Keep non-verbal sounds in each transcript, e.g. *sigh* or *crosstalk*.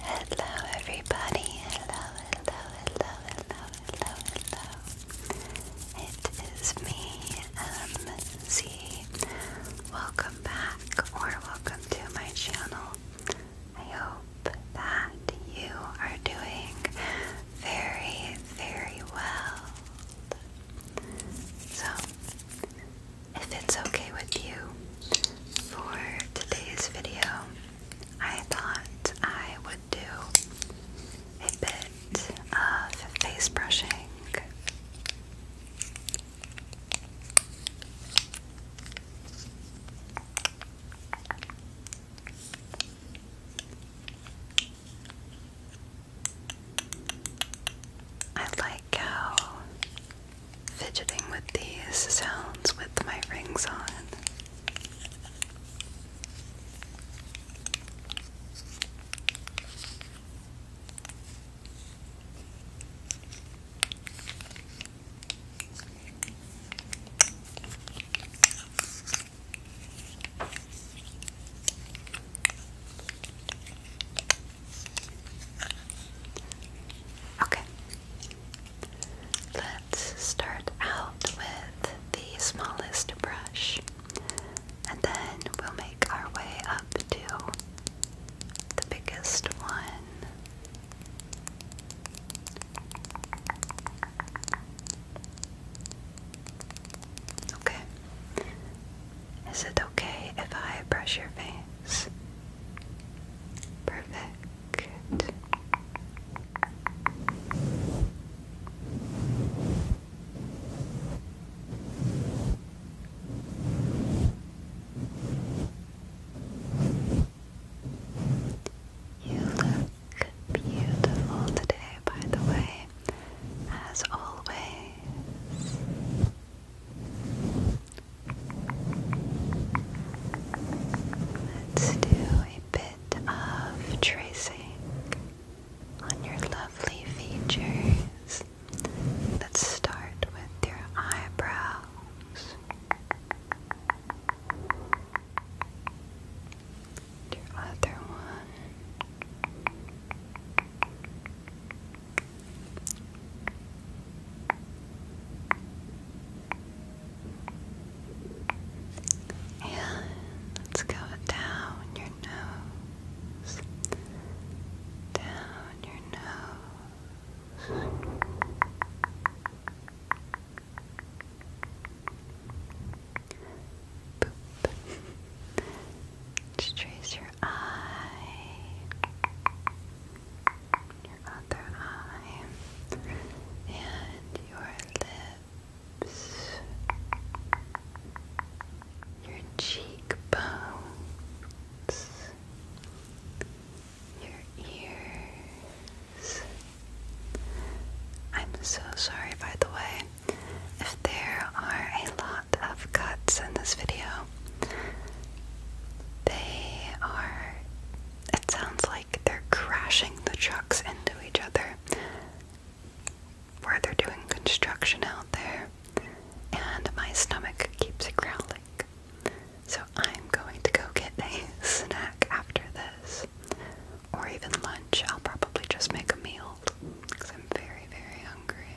Hello everybody, hello, hello, hello, hello, hello, hello. It is me, MC. Welcome back or welcome to my channel. I hope that you are doing very, very well. So, if it's okay with you, for today's video, I thought I would do a bit of face brushing. I like how fidgeting with these sounds with my rings on. Okay. Let's start out with the smallest brush and then we'll make our way up to the biggest one. Okay. Is it okay if I brush your face? Perfect. You look beautiful today, by the way, as always. Let's do a bit of tracing on your lovely features. Let's start with your eyebrows. Your other one. And let's go down your nose, down your nose let trace your eye. Your other eye. And your lips. Your cheekbones. Your ears. I'm so sorry, by the way, if there are a lot of cuts in this video. They are, it sounds like they're crashing the trucks into each other where they're doing construction out there, and my stomach keeps growling. So I'm going to go get a *laughs* snack after this, or even lunch. I'll probably just make a meal because I'm very, very hungry.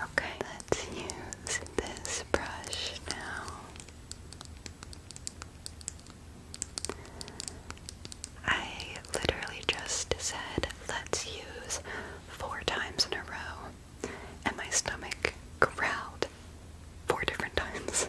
Okay, let's use this brush now. I literally just said, let's use four times in a row, and my stomach growled four different *laughs* times.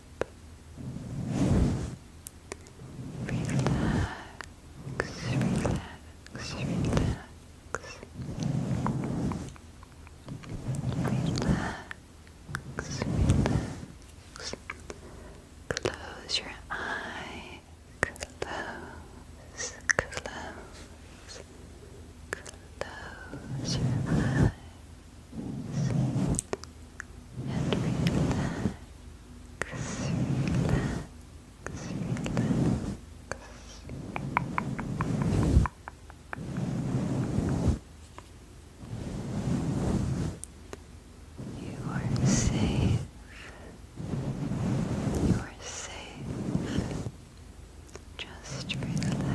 Relax, relax, relax. Relax, relax. Close your eye. Close, close, close your eyes and relax, relax, relax. You are safe. You are safe. Just relax. Relax.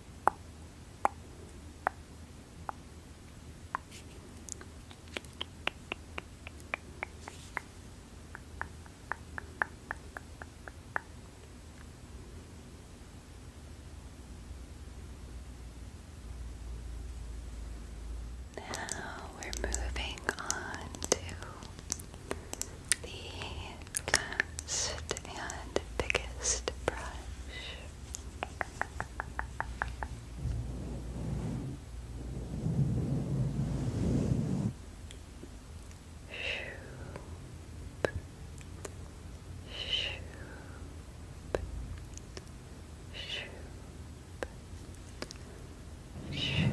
Now we're moving on to the last biggest brush. Shoop. Shoop. Shoop. Shoop.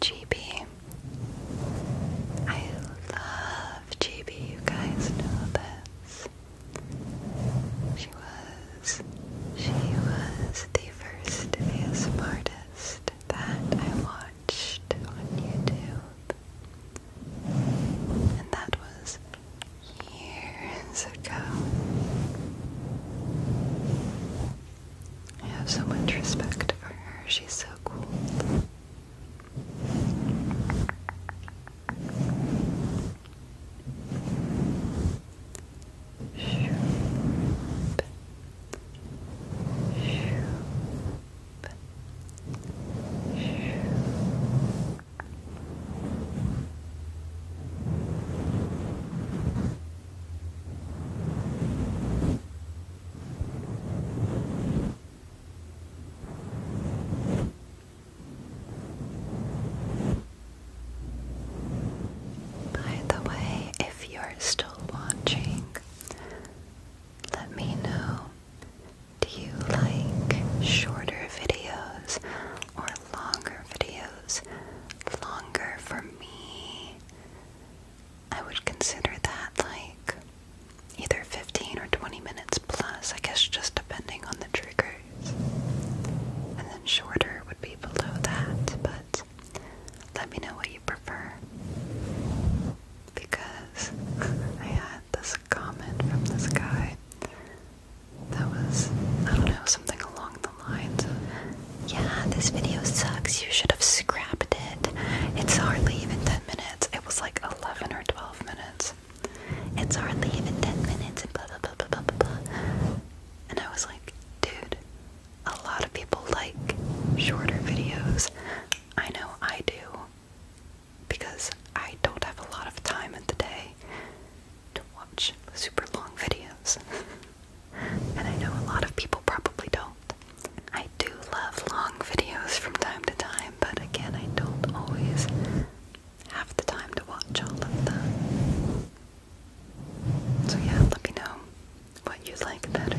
GB. love GB, you guys know this. She was, she was the first VSM artist that I watched on YouTube. And that was years ago. I have so much respect for her. She's so cool. Shoop. Shoop. Shoop. By the way, if you're still watching, let me know. Do you like shorter videos or longer videos? longer for me, I would consider that like either 15 or 20 minutes plus, I guess just depending on the triggers. And then shorter would be below that, but let me know what you prefer. Because *laughs* I had this comment from this guy that was, I don't know, something along the lines yeah, this video sucks, you should have scrapped it. It's hardly even 10 minutes. It was like 11 or 12 minutes. It's hardly even 10 minutes, and blah, blah, blah, blah, blah, blah. And I was like, dude, a lot of people like shorter videos. I know I do. Because I don't have a lot of time in the day to watch super long videos. *laughs* and I know a lot of people probably don't. I do love long videos from time to time, but again, I don't always have the time to watch all of them. So, yeah, let me know what you like better.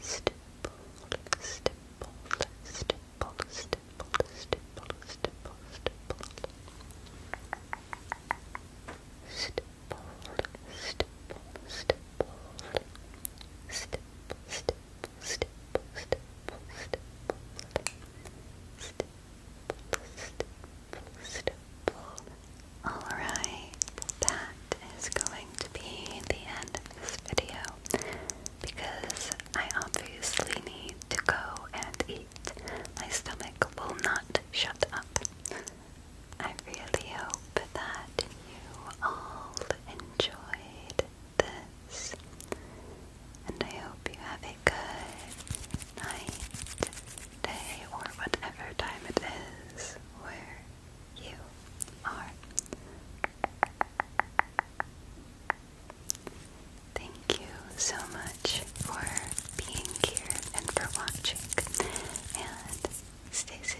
stipple, stipple, all right, is going to be the end of this video because I obviously need to go and eat. My stomach will not shut up. I really hope that you all enjoyed this, and I hope you have a good night, day, or whatever time it is where you are. Thank you so much for being here and for watching, and stay safe.